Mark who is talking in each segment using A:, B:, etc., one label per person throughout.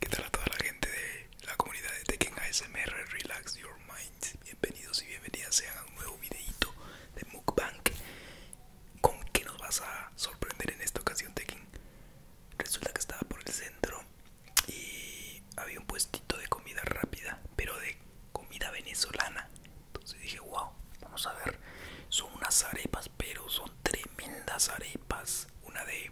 A: qué tal a toda la gente de la comunidad de Tekken ASMR Relax Your Mind Bienvenidos y bienvenidas sean a un nuevo videito de Mukbang ¿Con qué nos vas a sorprender en esta ocasión Tekken? Resulta que estaba por el centro y había un puestito de comida rápida Pero de comida venezolana Entonces dije wow, vamos a ver Son unas arepas pero son tremendas arepas una de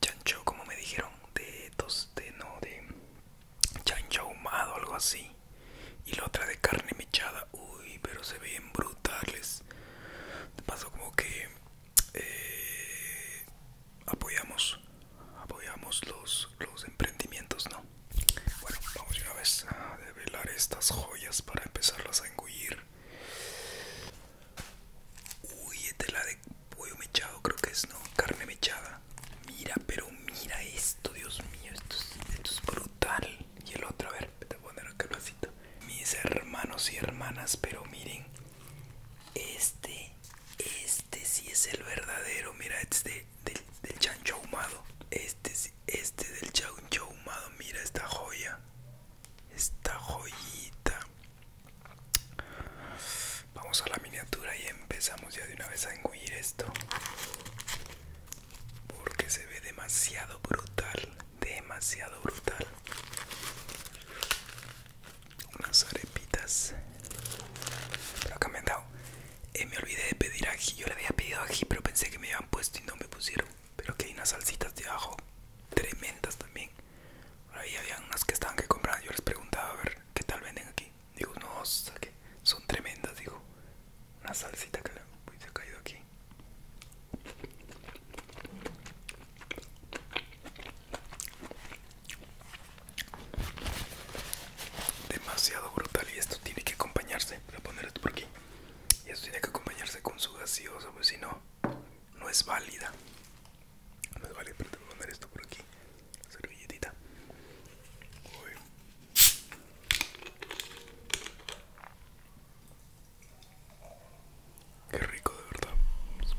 A: chancho como me dijeron de dos de no de chancho ahumado algo así y la otra de carne mechada uy pero se ven brutales de paso como que eh, apoyamos apoyamos los los emprendimientos no bueno vamos una vez a develar estas joyas para empezarlas a engullir Uy, esta es la de pollo mechado, creo que es, ¿no? Carne mechada. Mira, pero mira esto, Dios mío, esto es, brutal. Y el otro, a ver, te voy a poner acá vasito. Mis hermanos y hermanas, pero miren. Este, este sí es el verdadero. Mira, este del, chancho ahumado. Este, este del chancho ahumado. Mira esta joya esta joyita vamos a la miniatura y empezamos ya de una vez a engullir esto porque se ve demasiado brutal demasiado brutal unas arepitas pero acá me han dado eh, me olvidé de pedir ají yo le había pedido ají pero pensé que me habían puesto y no me pusieron pero que hay unas salsitas de ajo tremendas también. Por ahí habían unas que estaban que comprar. Yo les preguntaba a ver qué tal venden aquí. Digo, no, que son tremendas. Digo, una salsita que se ha caído aquí. Demasiado brutal y esto tiene que acompañarse. Voy a poner esto por aquí. Y esto tiene que acompañarse con su gaseosa, pues si no no es válida. No es válida, pero te voy a poner esto por aquí. La servilletita. Uy. Qué rico, de verdad. Vamos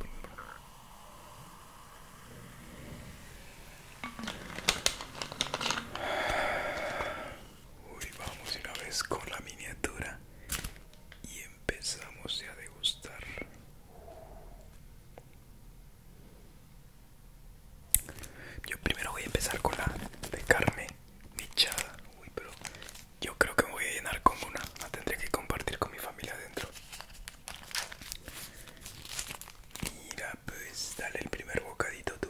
A: a Uy, vamos una vez con la miniatura y empezamos ya a degustar yo primero voy a empezar con la de carne michada uy pero yo creo que me voy a llenar con una la tendré que compartir con mi familia adentro mira pues dale el primer bocadito tú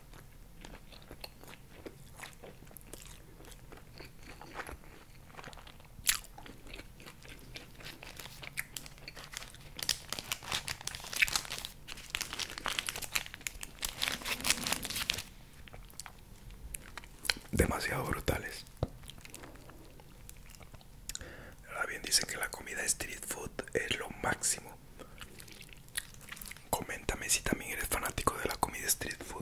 A: demasiado brutales. Ahora bien dicen que la comida street food es lo máximo. Coméntame si también eres fanático de la comida street food.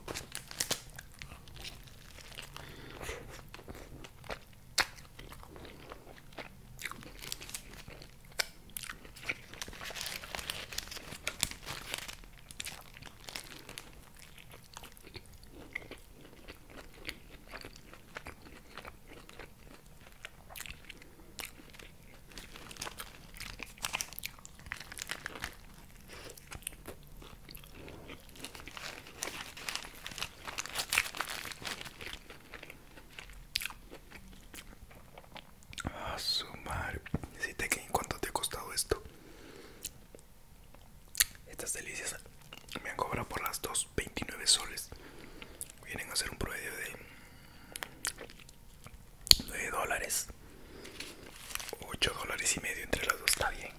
A: A ah, sumar, madre. que en cuánto te ha costado esto. Estas delicias me han cobrado por las dos 29 soles. Vienen a ser un promedio de 9 dólares 8 dólares y medio entre las dos está bien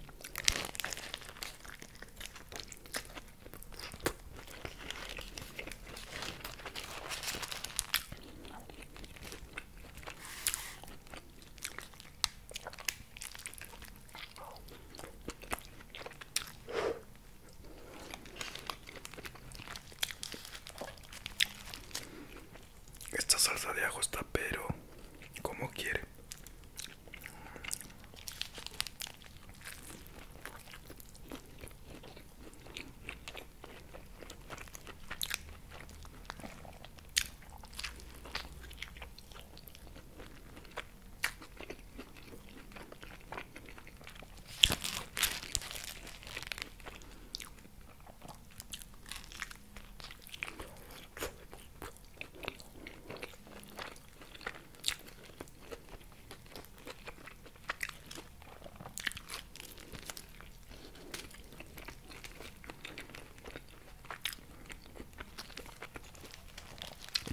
A: esta salsa de ajo está pero como quiere.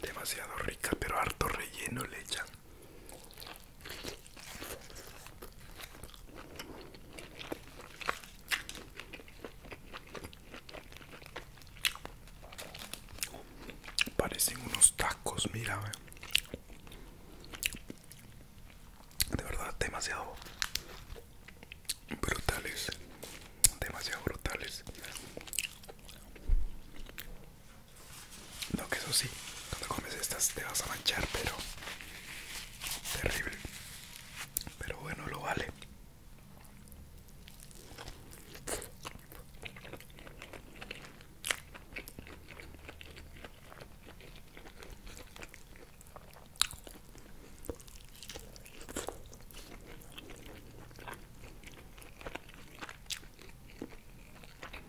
A: Demasiado rica, pero harto relleno le echan. Parecen unos tacos, mira. De verdad, demasiado brutales. Demasiado brutales. No, que eso sí, cuando comes estas te vas a manchar, pero terrible. Pero bueno, lo vale.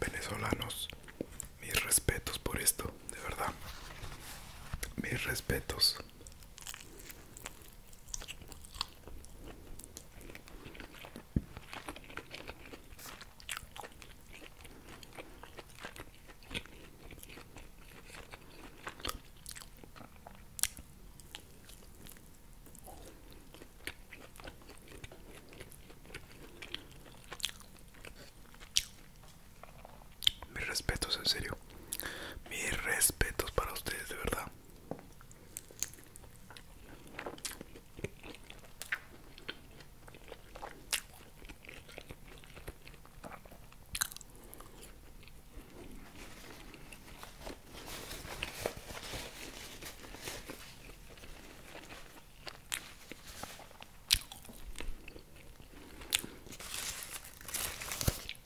A: Venezolanos, mis respetos por esto de verdad. Mis respetos. Mis respetos, en serio. Mis respetos para ustedes, de verdad.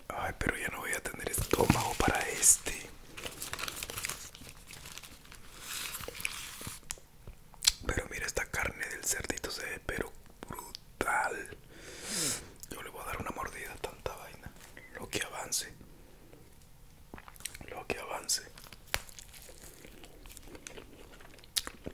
A: Ay, pero ya no voy a tener estómago para este. Pero mira, esta carne del cerdito se ve pero brutal. Yo le voy a dar una mordida a tanta vaina. Lo que avance. Lo que avance.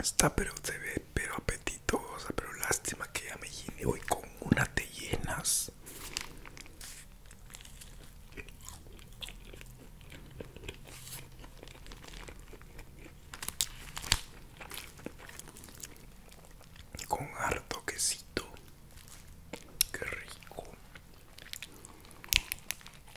A: Está pero se ve pero apetitosa, pero lástima que ya me llené hoy con una te llenas. Con harto quesito. Qué rico.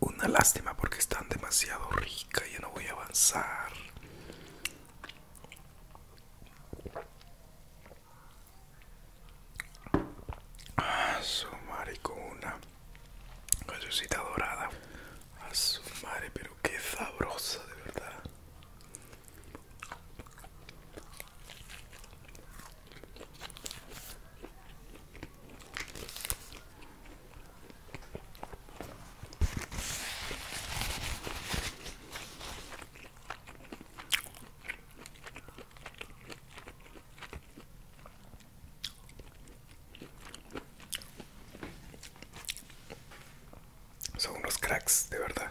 A: Una lástima porque están demasiado ricas, yo no voy a avanzar. a su con una Gallosita dorada. A su madre, pero qué sabrosa de verdad. Son unos cracks, de verdad.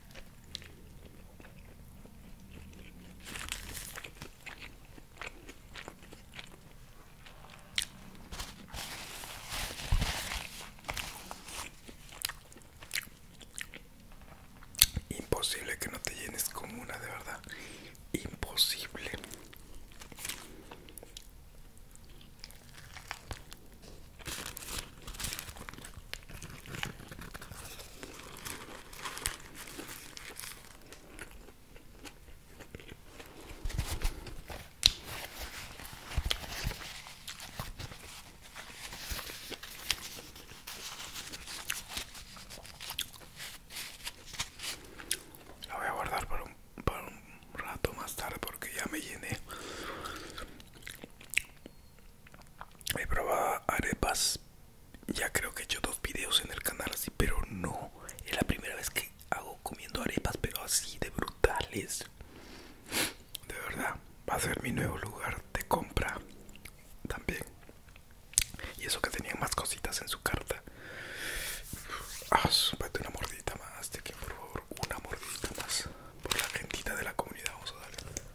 A: Imposible que no te llenes como una, de verdad. Imposible. La voy a guardar por un, un rato más tarde porque ya me llené he probado arepas ya creo que he hecho dos videos en el canal así pero no es la primera vez que hago comiendo arepas pero así de brutales de verdad va a ser mi nuevo lugar de compra también y eso que tenían más cositas en su carta ah, una mordita más de que por favor una mordita más por la gentita de la comunidad vamos a darle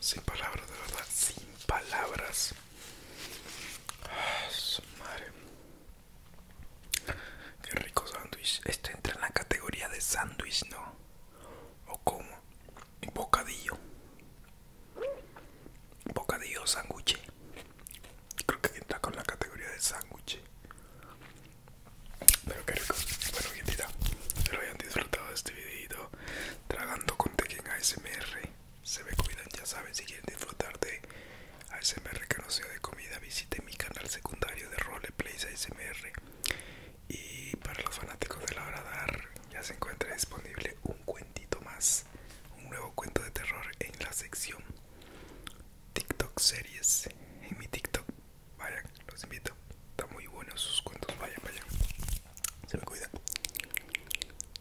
A: Sin palabras, de verdad, sin palabras. Ah, madre. Qué rico sándwich. Esto entra en la categoría de sándwich, ¿no? O como bocadillo. Bocadillo sándwich. Creo que entra con la categoría de sándwich. Pero qué rico. Bueno, bien, tira. Espero hayan disfrutado de este videito. Tragando con Tequen ASMR se me cuidan, ya saben, si quieren disfrutar de ASMR que no sea de comida, visiten mi canal secundario de Roleplays ASMR. Y para los fanáticos de la hora dar, ya se encuentra disponible un cuentito más, un nuevo cuento de terror en la sección TikTok series. En mi TikTok, vayan, los invito. Está muy buenos sus cuentos, vayan, vayan. Se me cuidan.